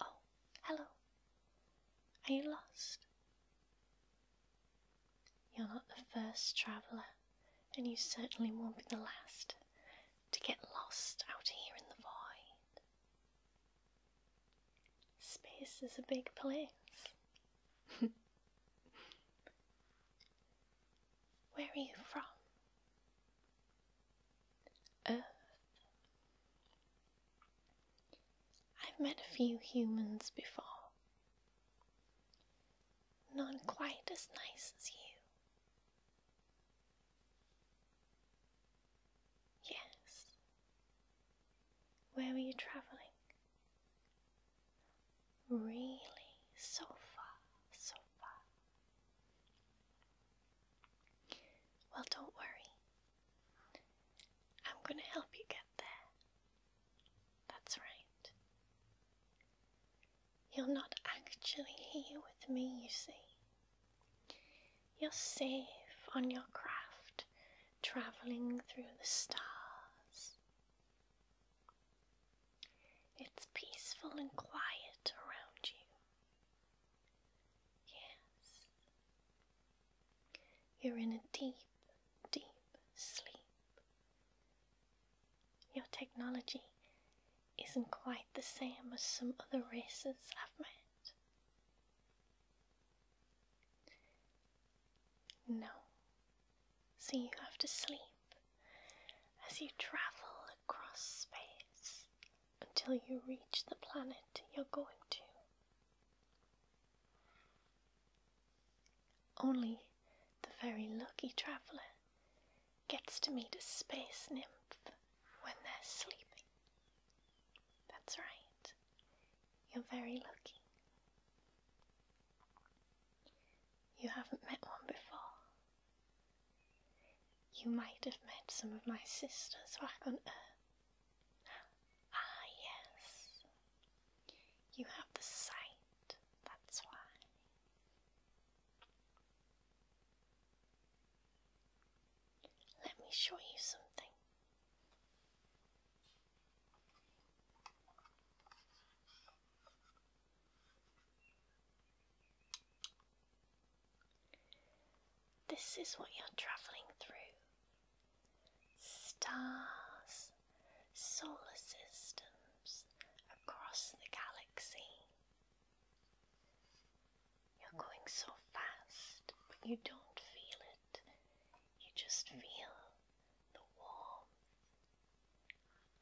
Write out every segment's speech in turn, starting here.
Oh, hello. Are you lost? You're not the first traveller, and you certainly won't be the last, to get lost out here in the void. Space is a big place. Where are you from? Earth. I've met a few humans before not quite as nice as you. Yes. Where were you travelling? Really, so far, so far. Well, don't worry. I'm going to help you get there. That's right. You're not actually here with me, you see. You're safe on your craft, travelling through the stars. It's peaceful and quiet around you. Yes. You're in a deep, deep sleep. Your technology isn't quite the same as some other races I've met. No. So you have to sleep as you travel across space until you reach the planet you're going to. Only the very lucky traveller gets to meet a space nymph when they're sleeping. That's right, you're very lucky. You haven't met one before. You might have met some of my sisters back on Earth. Ah, yes. You have the sight, that's why. Let me show you something. This is what you're travelling through stars solar systems across the galaxy. You're going so fast, but you don't feel it. You just feel the warmth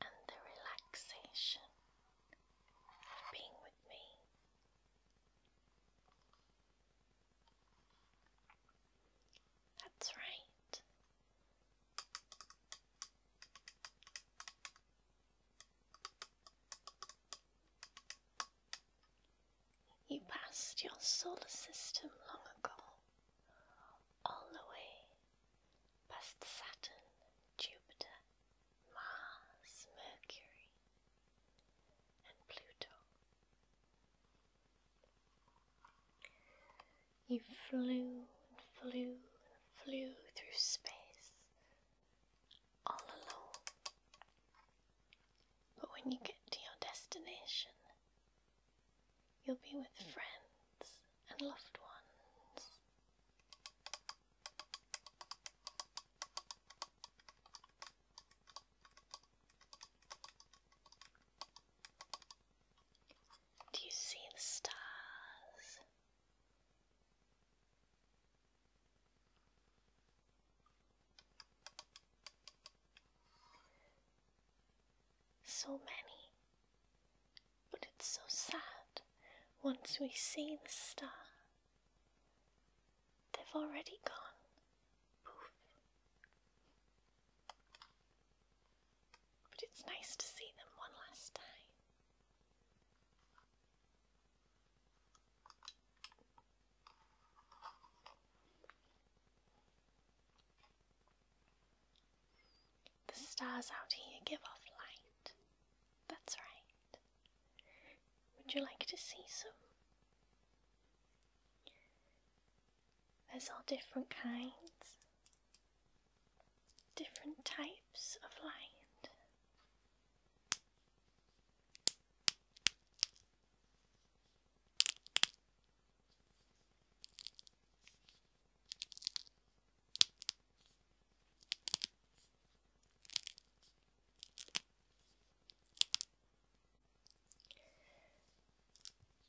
and the relaxation of being with me. That's right. You passed your solar system long ago, all the way past Saturn, Jupiter, Mars, Mercury, and Pluto. You flew and flew and flew through space all alone. But when you get to your destination, you'll be with friends and loved ones. Do you see the stars? So many, but it's so sad once we see the star. They've already gone. Poof. But it's nice to see them one last time. The stars out here give off light. That's right. Would you like to see some? There's all different kinds different types of light.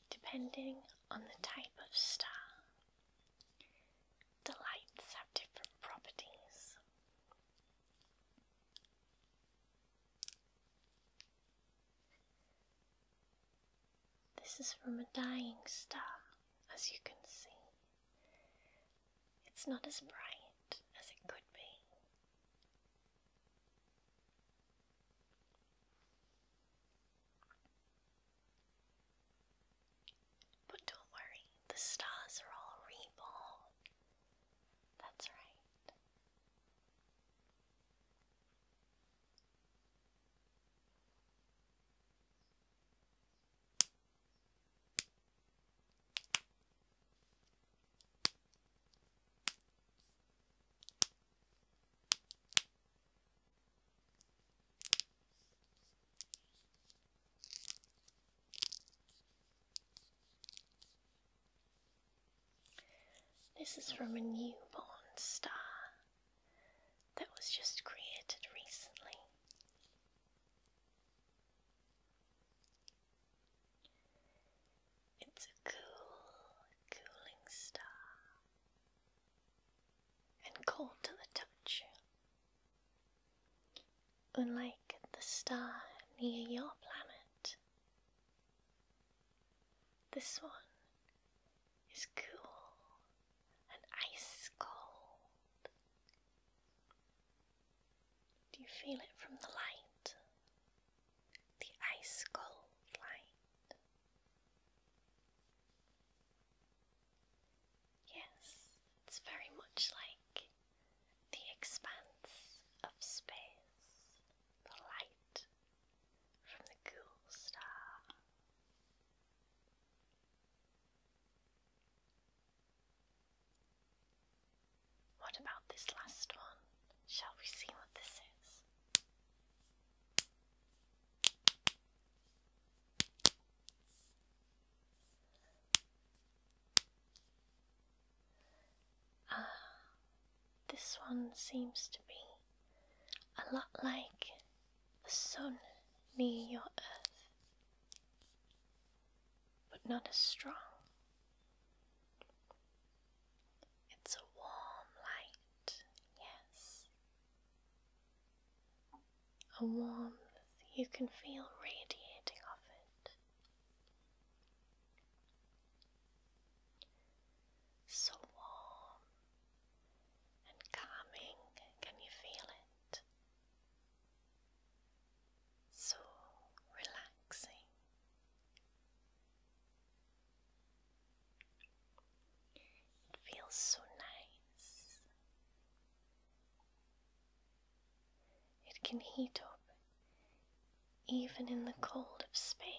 Depending on the type of star the lights have different properties. This is from a dying star, as you can see. It's not as bright as it could be. But don't worry, the stars are all reborn. That's right. This is from a newborn star that was just created recently. It's a cool, cooling star and cold to the touch. Unlike the star near your planet, this one is cool and ice cold. Do you feel it from the light? The ice cold light. Yes, it's very much like the expanse of space, the light from the cool star. What about this last one? Shall we see what this is? Ah, this one seems to be a lot like the sun near your earth, but not as strong. It's a warm light, yes, a warmth you can feel radiating off it. So warm and calming, can you feel it? So relaxing. It feels so nice. It can heat up even in the cold of space.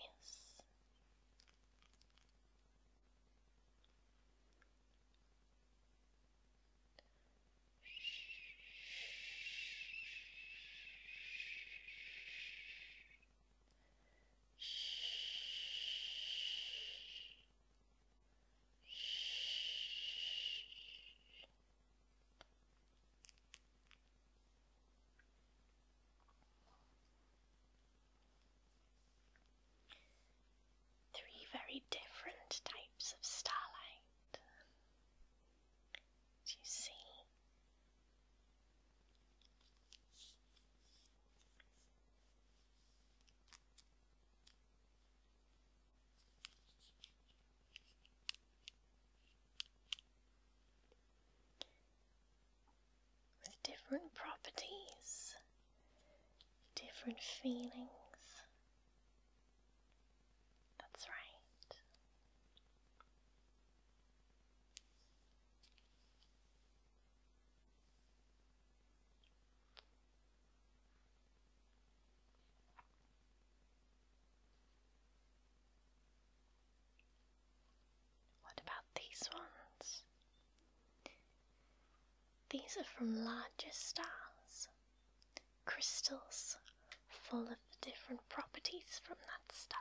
Three very different types of starlight. Do you see? with different properties, different feelings. That's right. What about these ones? These are from larger stars, crystals full of the different properties from that star.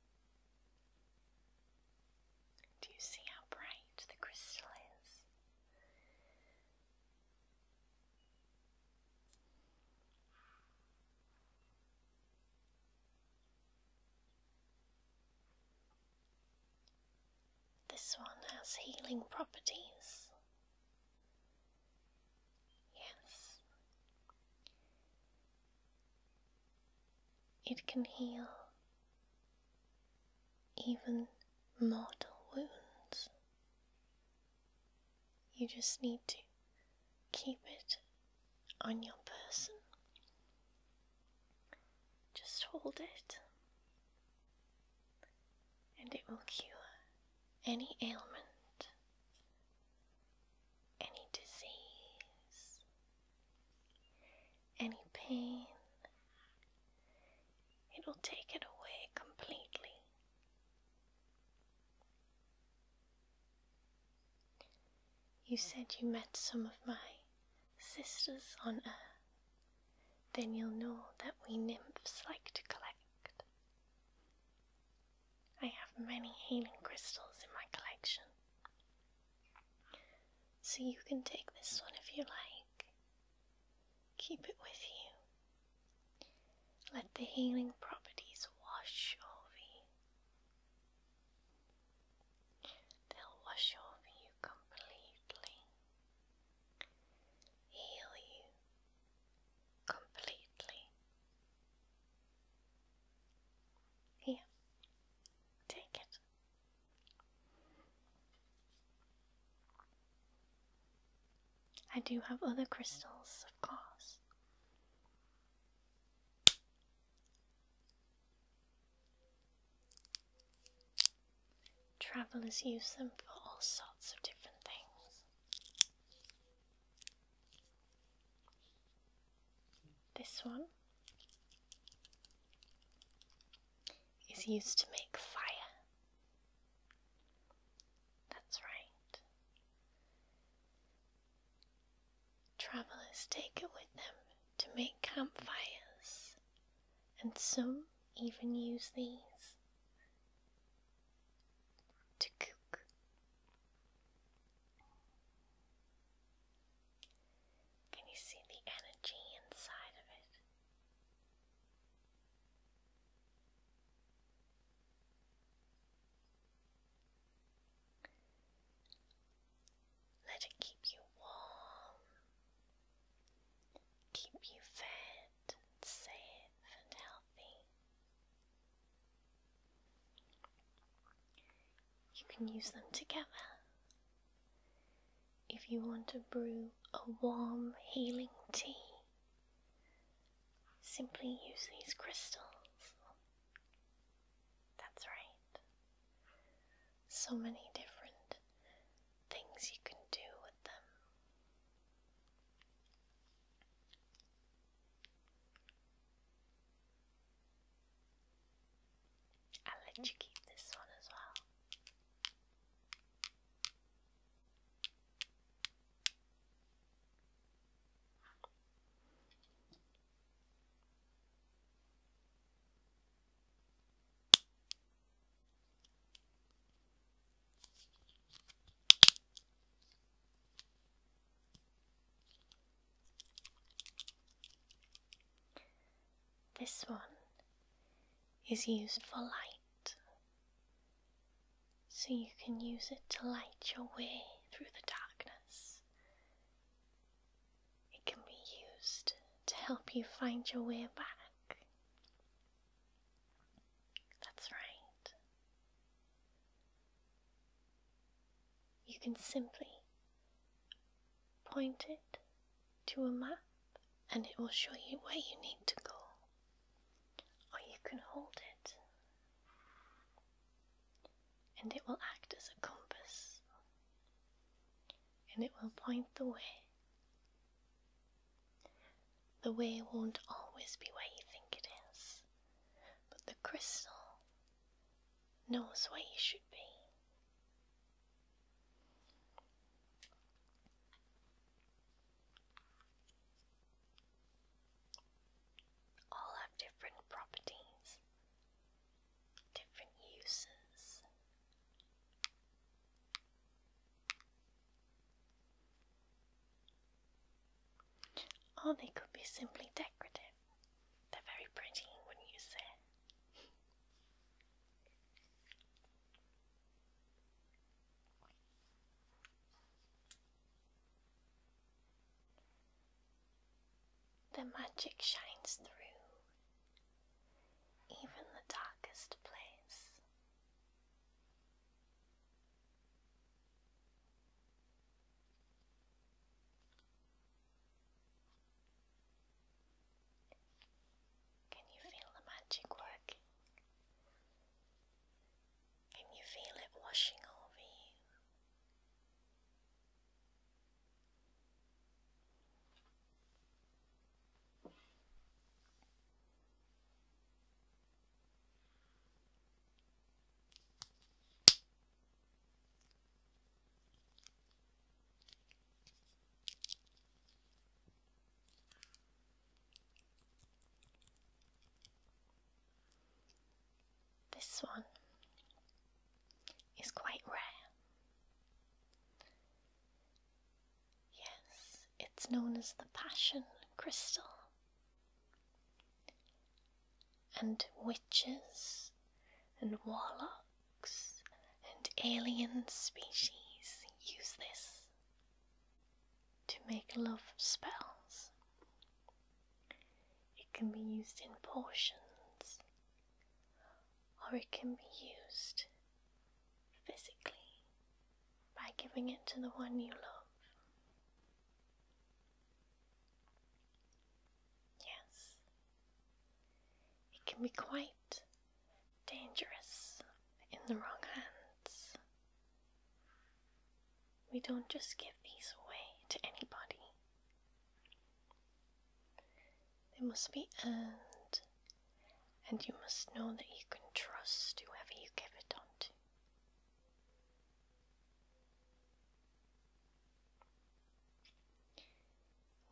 Do you see how bright the crystal is? This one has healing properties. Yes. It can heal even mortal wounds. You just need to keep it on your person. Just hold it, and it will cure any ailment, any disease, any pain. It will take it away completely. You said you met some of my sisters on Earth. Then you'll know that we nymphs like to collect. I have many healing crystals in my collection. So you can take this one if you like. Keep it with you. Let the healing properties wash over you. They'll wash over you completely. Heal you completely. Here, take it. I do have other crystals, of course. Travelers use them for all sorts of different things. This one is used to make fire. That's right. Travelers take it with them to make campfires, and some even use these to cook. Can you see the energy inside of it? Let it keep you warm, keep you fed, safe, and healthy you can use them together. If you want to brew a warm, healing tea, simply use these crystals. That's right. So many different things you can do with them. I'll let you keep this one as well. This one is used for light, so you can use it to light your way through the darkness. It can be used to help you find your way back. That's right. You can simply Point it to a map and it will show you where you need to go. Or you can hold it and it will act as a compass and it will point the way. The way won't always be where you think it is, but the crystal knows where you should be. All have different properties, different uses. Or they could be simply decorative. They're very pretty, wouldn't you say? The magic shines through, even the darkest place. Can you feel the magic working? Can you feel it washing over you? This one is quite rare. Yes, it's known as the Passion Crystal and witches and warlocks and alien species use this to make love spells. It can be used in potions, or it can be used physically by giving it to the one you love. Yes, it can be quite dangerous in the wrong hands. We don't just give these away to anybody. They must be earned, and you must know that you can trust whoever you give it on to.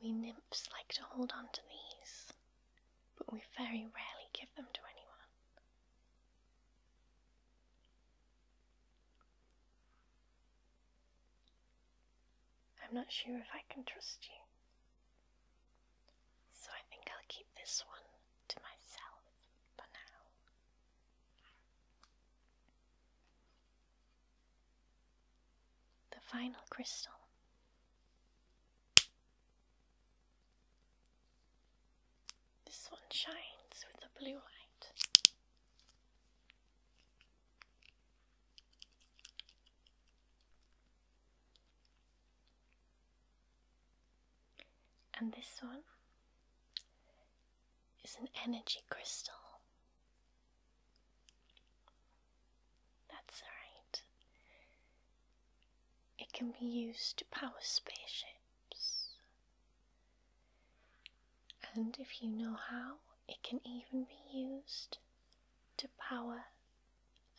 We nymphs like to hold on to these, but we very rarely give them to anyone. I'm not sure if I can trust you, so I think I'll keep this one to myself for now. The final crystal. This one shines with a blue light. And this one is an energy crystal that's alright. It can be used to power spaceships. And if you know how, it can even be used to power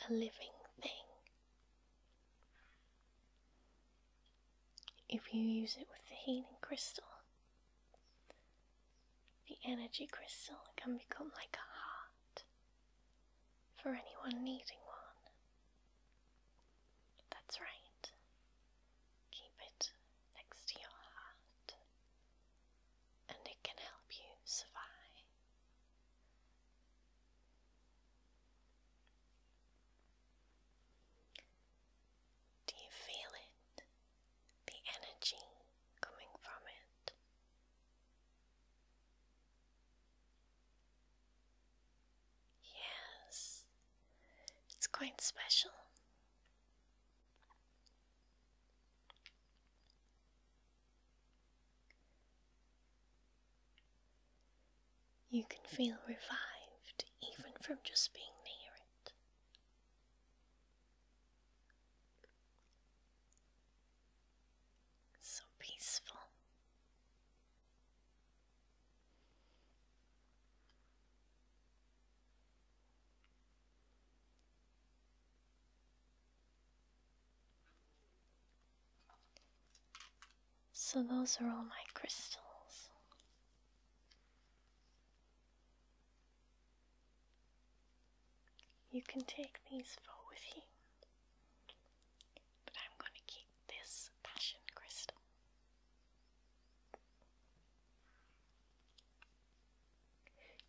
a living thing. If you use it with the healing crystal, the energy crystal can become like a heart for anyone needing one. That's right. Keep it next to your heart, and it can help you survive. Do you feel it? the energy coming from it. Yes, it's quite special. You can feel revived even from just being near it. So peaceful. So, those are all my crystals. You can take these four with you, but I'm going to keep this passion crystal.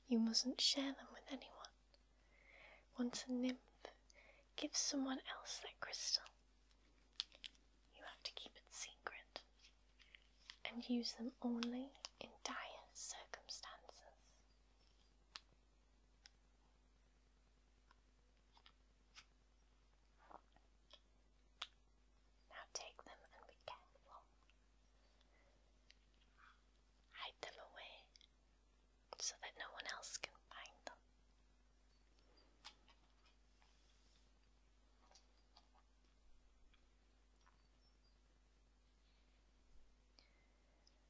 You mustn't share them with anyone. Once a nymph gives someone else that crystal, you have to keep it secret and use them only in dire circumstances. Now take them and be careful. Hide them away so that no one else can find them.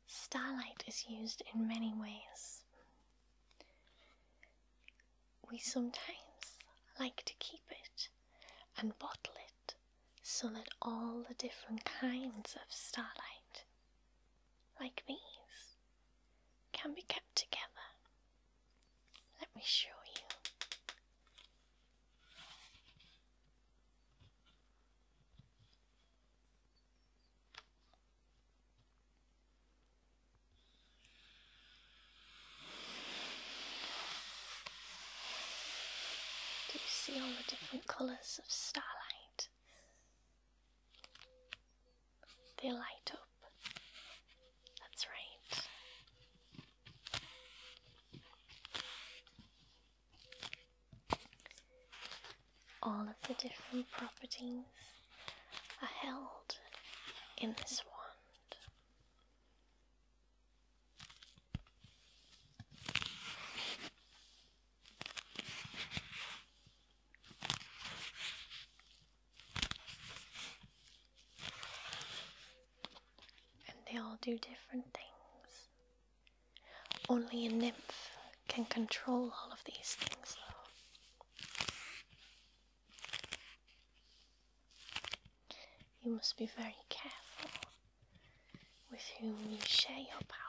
Starlight is used in many ways. We sometimes like to keep it and bottle it so that all the different kinds of starlight, like these, can be kept together. Let me show you. Do you see all the different colours of starlight? They light up. That's right. All of the different properties are held in this wand and they all do different things. Only a nymph can control all of these things, You must be very careful with whom you share your power.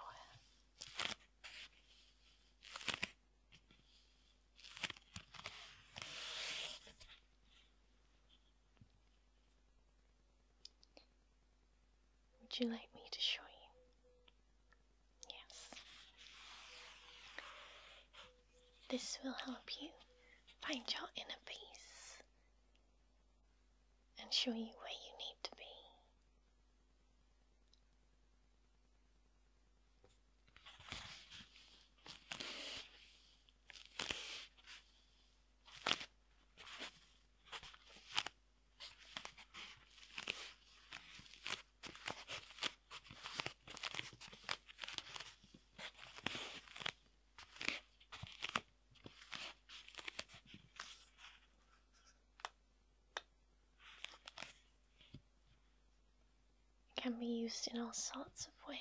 Would you like me to show you? Yes. This will help you find your inner peace and show you where you need to be. It can be used in all sorts of ways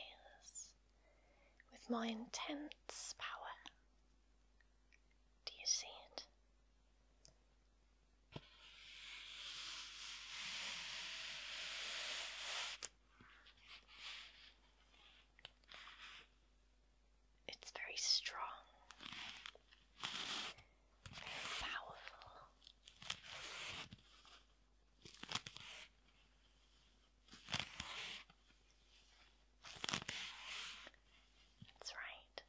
with more intense power. Do you see it? It's very strong, very powerful. That's right.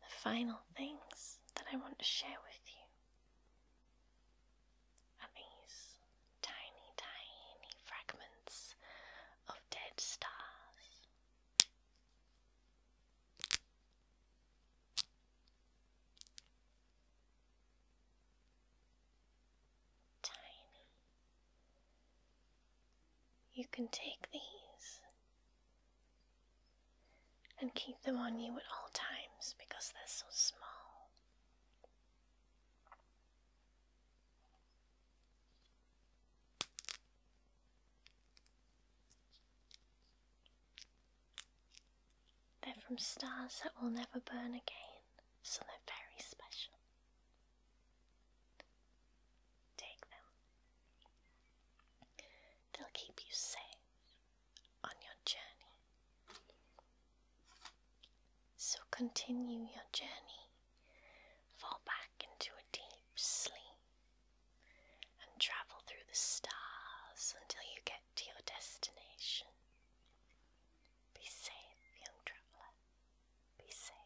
The final things that I want to share with you are these tiny, tiny fragments of dead stars. Tiny. You can take these and keep them on you at all times because they're so small. They're from stars that will never burn again, so they're very special. Take them, they'll keep you safe on your journey. So continue your journey fall back into a deep sleep, and travel through the stars until you get to your destination. Be safe, young traveller. Be safe.